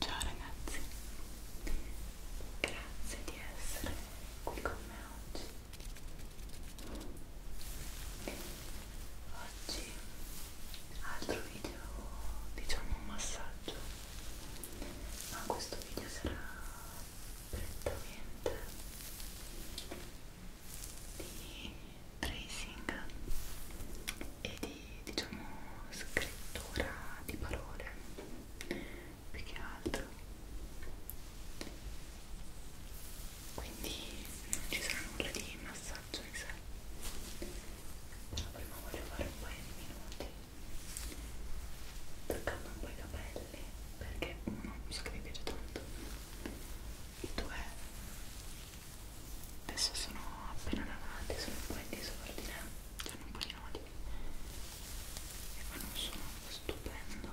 Ciao ragazzi, grazie di essere qui con me oggi. Oggi altro video, diciamo un massaggio, ma questo video sarà prettamente di tracing e di diciamo scrittura di parole più che altro quindi non ci sarà nulla di massaggio in sé però prima voglio fare un paio di minuti toccando un po' i capelli perché uno mi sa che mi piace tanto e due adesso sono appena lavate sono un po' in disordine hanno un po' di nodi e ma non sono stupendo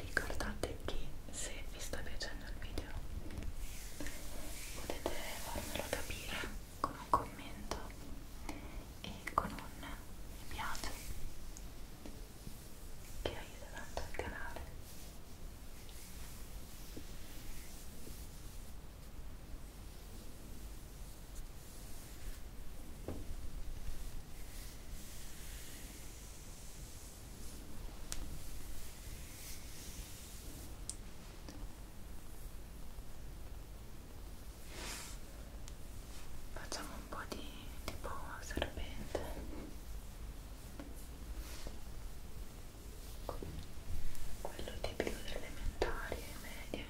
Ricordate che se vi sta piacendo il video potete farmelo capire con un commento e con un mi piace che aiuta tanto il canale. Facciamo un po' di tipo serpente. Quello tipico delle elementari e medie,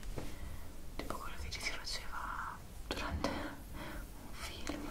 tipo quello che ci si faceva durante un film.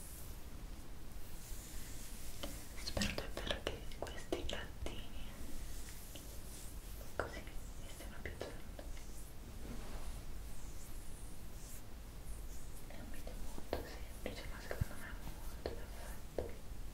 Spero davvero che questi piattini così mi stiano piacendo. È un video molto semplice, ma secondo me è molto perfetto. Spero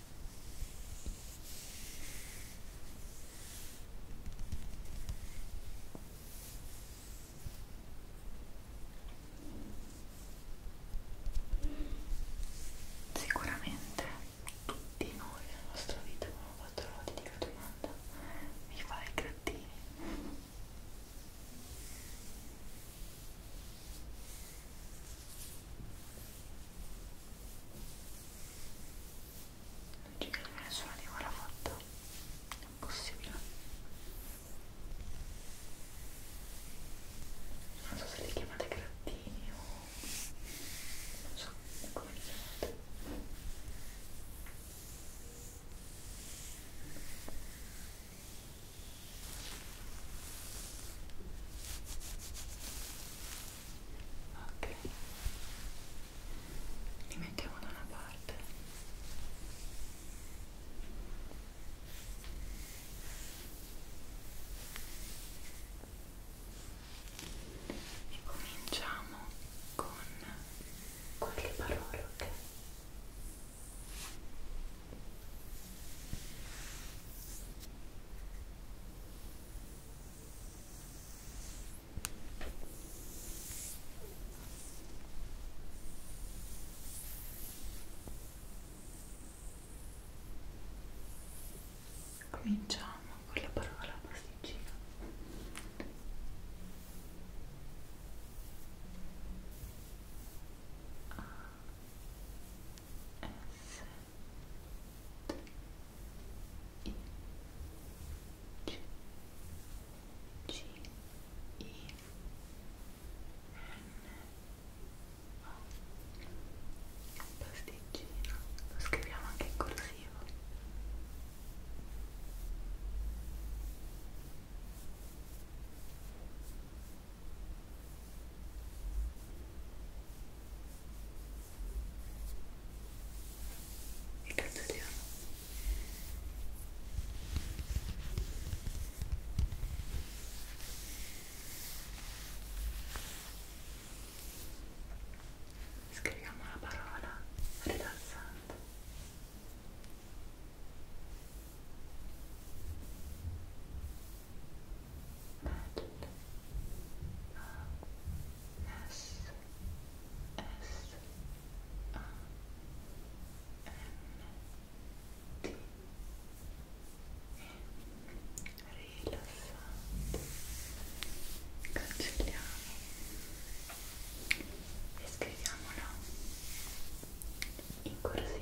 Sicuramente tutti noi nella nostra vita abbiamo fatto l'odio di una domanda, mi fai grattini? Non ci crede nessuno di voi l'ha fatto. È impossibile. Non so se li chiamate grattini o... non so come li chiamate ok li mettiamo da una parte e cominciamo con qualche parola ok Cominciamo con la parola pasticcina. A S pasticcino lo scriviamo anche in corsivo e cancelliamo scriviamo la parola rilassante cancelliamo e scriviamolo in corsivo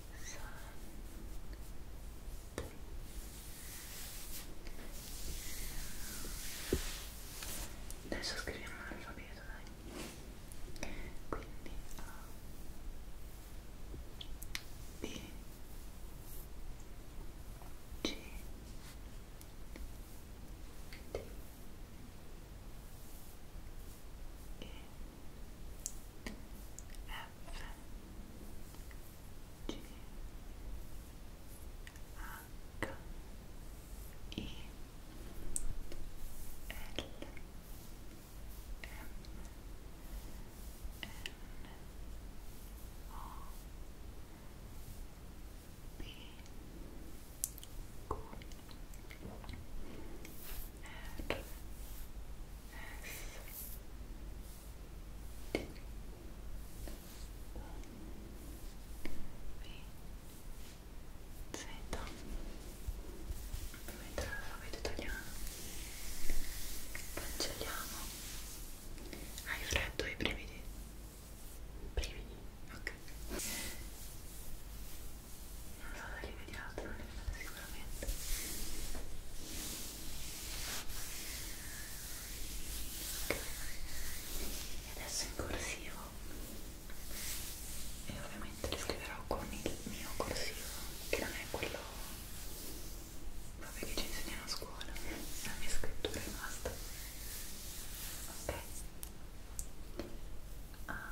Adesso scriviamo l'alfabeto, dai. Quindi A B C D E F G H E L M N O P Q R R S T V Z mentre l'alfabeto italiano cancelliamo hai freddo i brividi? brividi? ok non so se li vediate, non li vedete sicuramente okay. e adesso in corsivo e ovviamente li scriverò con il mio corsivo che non è quello proprio che ci insegnano a scuola la mia scrittura è basta ok A ah.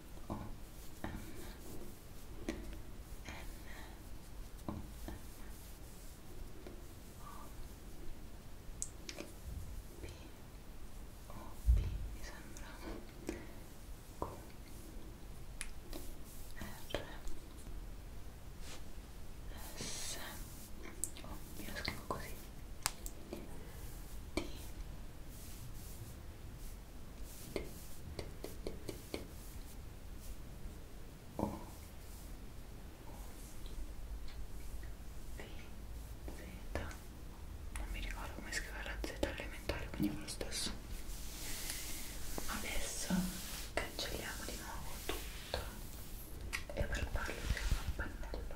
O M N O M O P O P mi sembra Q R S oh, io lo scrivo così D E o V Z non mi ricordo come scrivere la Z elementare quindi fa lo stesso adesso cancelliamo di nuovo tutto e per farlo usiamo il pennello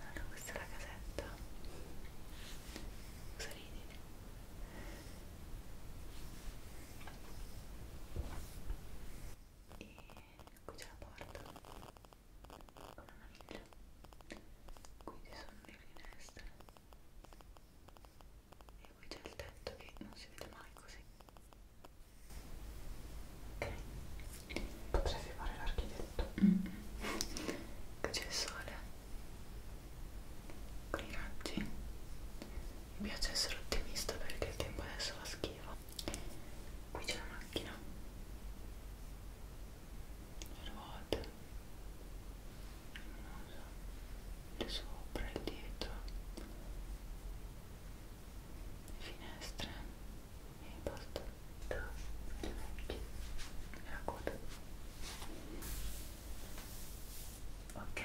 allora, questa è la casetta. Userò sorridi e qui c'è la porta con una miglia qui ci sono le finestre e qui c'è il tetto che non si vede mai così ok potresti fare l'architetto mm -hmm. qui c'è il sole con i raggi mi piace essere ottimista perché il tempo adesso va schifo qui c'è la macchina le ruote le sopra, il dietro le finestre e basta le orecchie e la coda ok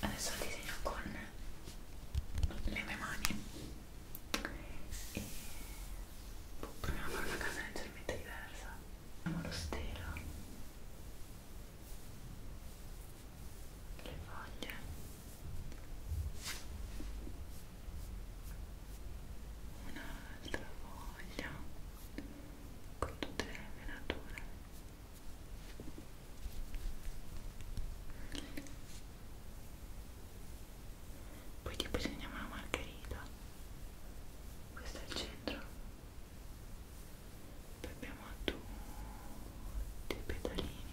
adesso lo disegno con le mie mani e boh, proviamo a fare una casa leggermente diversa abbiamo lo stelo le foglie un'altra foglia con tutte le venature poi tipo si chiama la margherita questo è il centro poi abbiamo tutti i pedalini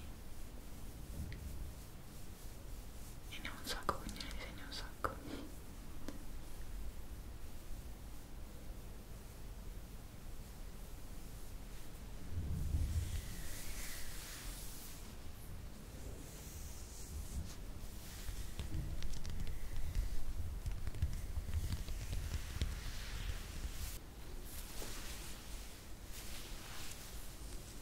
e ne ho un sacco quindi ne disegno un sacco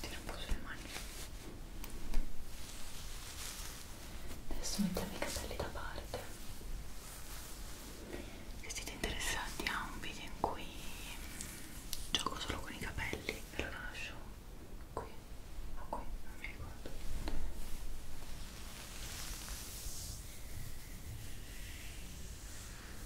tira un po' sulle mani adesso mettiamo i capelli da parte se siete interessati a ah, un video in cui gioco solo con i capelli ve lo lascio qui o ah, qui, non mi ricordo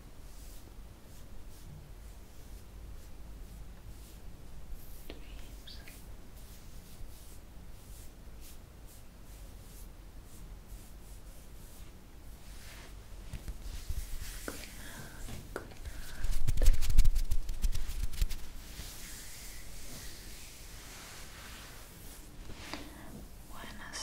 Dreams. Good good night. Buenas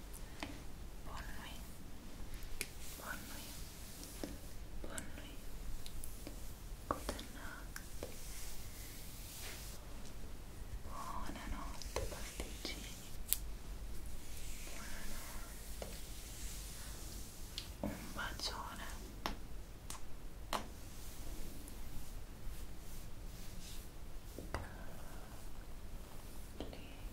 Bonne nuit. Bonne nuit. Bonne nuit. Good night. Buonanotte Un bacione. Carlina.